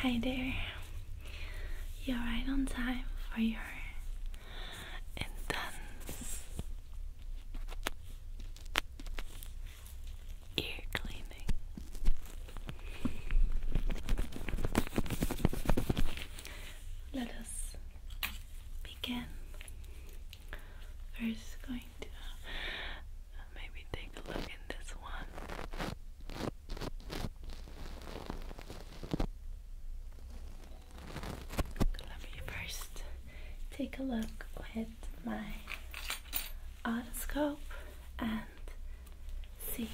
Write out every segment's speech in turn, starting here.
Hi there. You're right on time for your intense ear cleaning. Let us begin. First, going to uh, maybe take a look in this one. Let me first take a look with my otoscope and see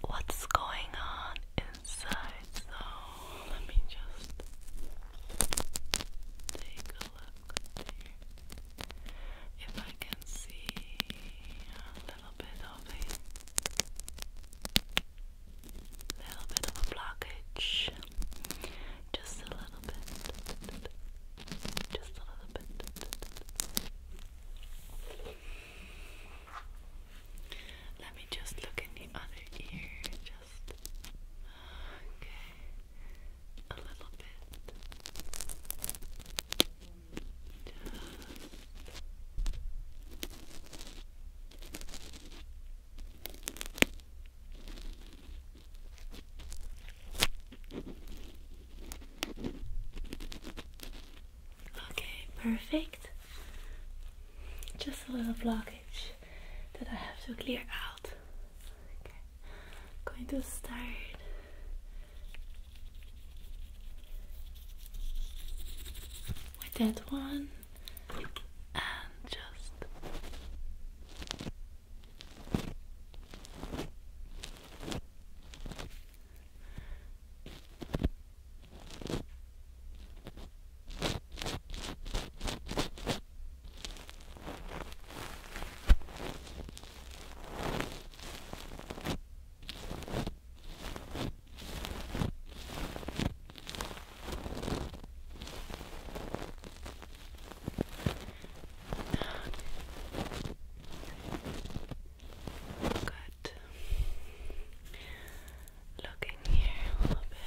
what's going on inside. So let me just take a if I can see a little bit of a little bit of a blockage, just a little bit, just a little bit. Let me just look in the other ear. Just okay a little bit. Okay, perfect. Just a little block that I have to clear out. I'm going to start with that one and just Good. Look in here a little bit.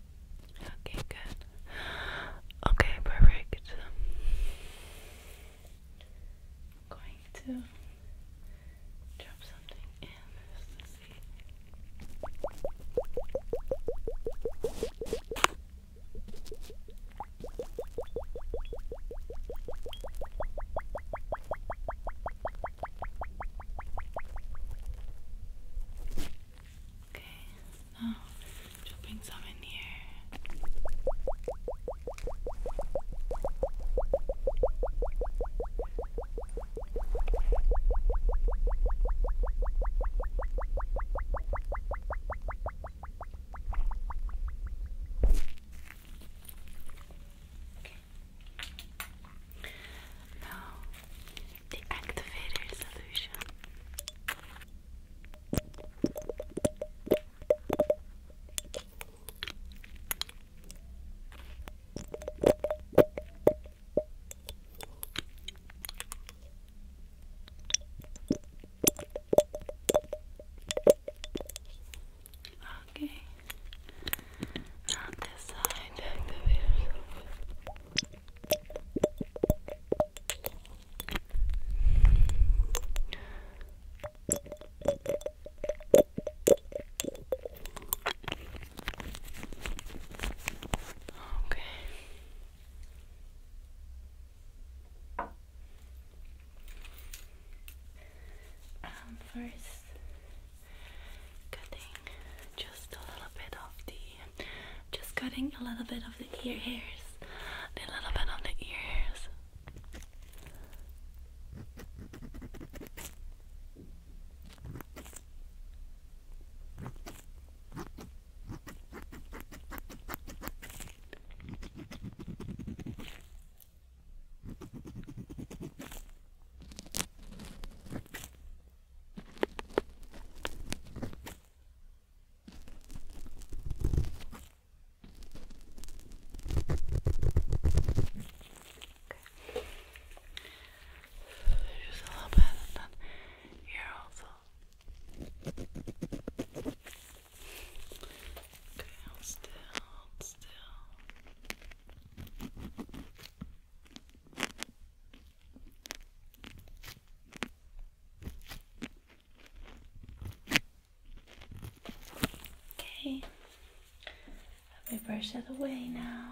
Okay, good. Okay, perfect. I'm going to drop something in just to see. Okay, now just bring some in here. Okay, now, the activator solution. Okay, on this side. Okay. Um, first, cutting just a little bit of the just cutting a little bit of the ear hairs a little bit of the ear just a little bit, and then here also. Okay, hold still, hold still. Okay, let me brush that away now.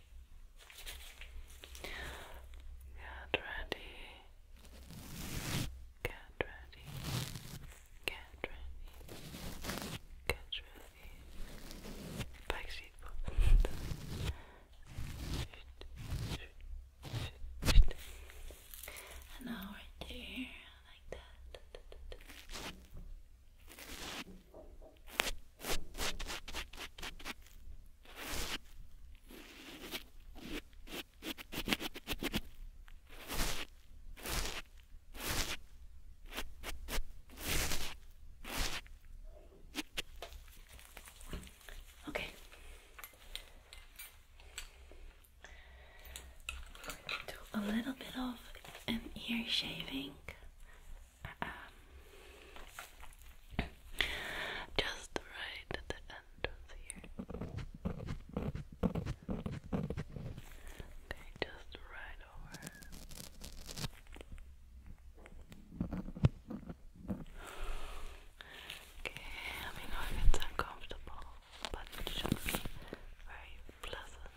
Get ready. Get ready. Get ready. Get ready. Back seat And now right there, like that. Okay. Do a little bit of ear shaving um, just right at the entrance here. Okay, just right over. Okay, I mean, I it's uncomfortable, but it should very pleasant.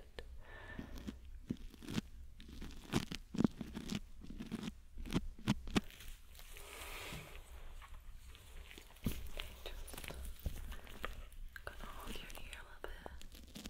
gonna hold your ear a little bit.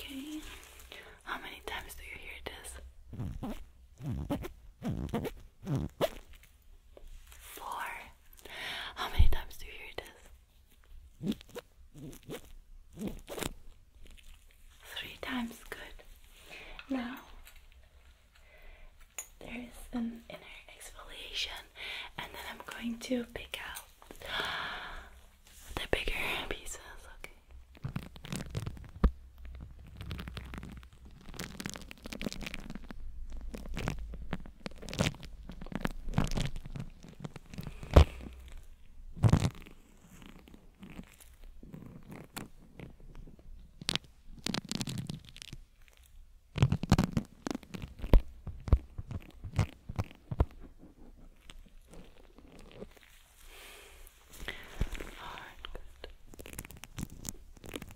Okay. How many times do you hear this? Four. How many times do you hear this? Three times, good. Now, there is an inner exfoliation, and then I'm going to pick out the bigger pieces, okay? All right, good.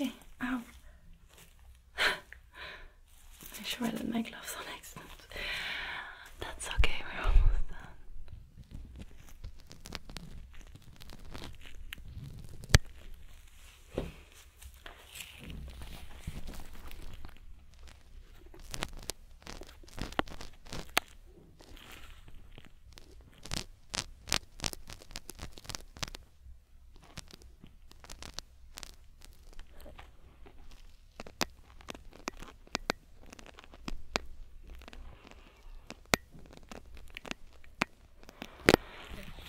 Okay, ow. Make sure I let my gloves on accident. That's okay, we're almost done.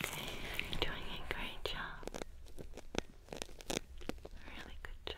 You're doing a great job. Really good job.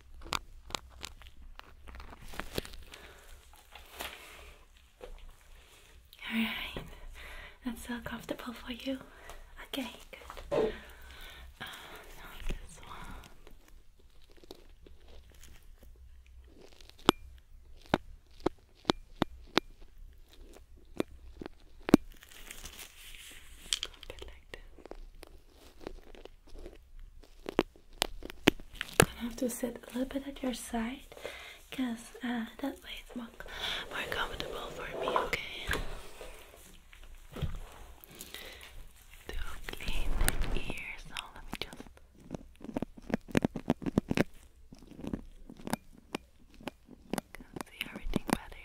Alright, that's so comfortable for you. Okay, good. Uh, this one. A like this. I am gonna have to sit a little bit at your side because uh, that way it's more, more comfortable for me, okay? To clean the ear, so oh, let me just. see everything better.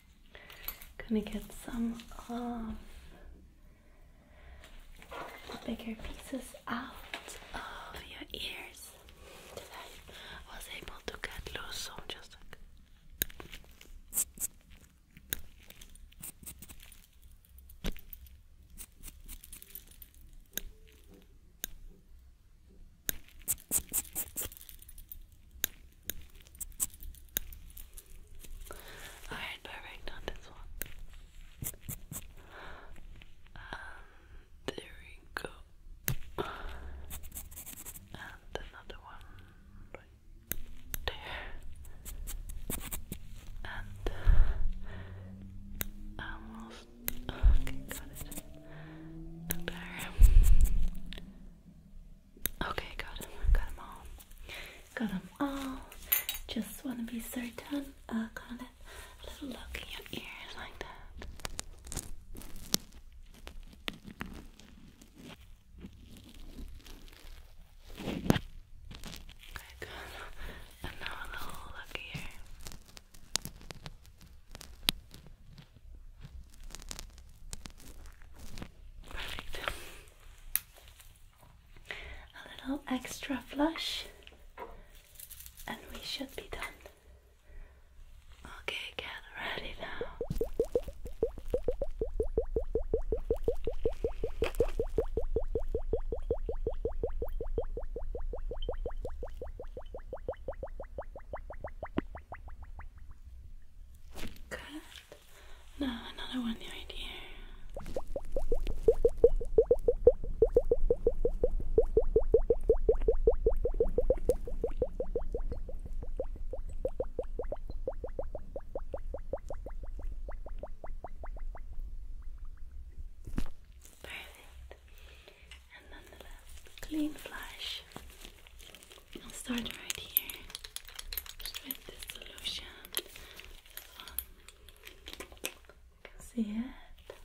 Gonna get some of the bigger pieces out of your ears I was able to get loose, so just Alright, perfect on this one. Um, there we go. And another one there. And uh, almost There. Okay, got them. all. Got all. Just want to be certain. I uh, got A little look in your ears like that. Okay, good. And little look here. Perfect. A little extra flush, and we should be done. Okay, get ready now. Good. Now another one right here. Perfect. And nonetheless, clean flash. I'll start right here with this solution. This one. See it?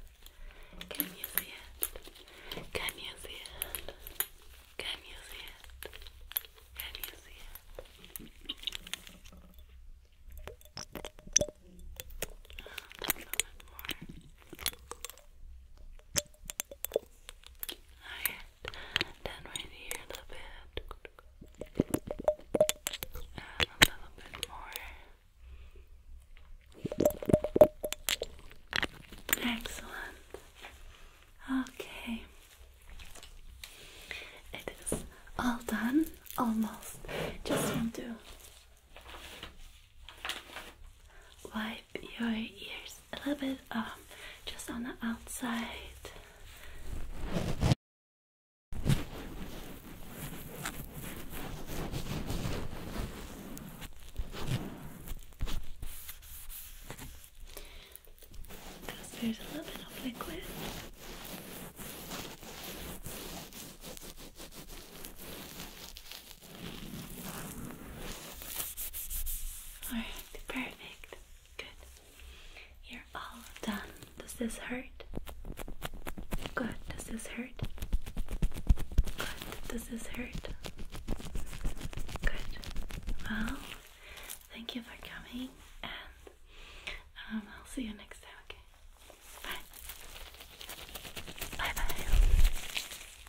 Can you see it? Can you see it? Can you see it? Can you see it? down right here a bit, and a little bit more. Excellent. Okay, it is all done, almost. Just want to wipe your ears a little bit um just on the outside. Because there's a little bit of liquid. Alright, perfect. Good. You're all done. Does this hurt? Good. Does this hurt? Good. Does this hurt? Good. Well, thank you for coming, and um, I'll see you next time, okay? Bye. Bye bye.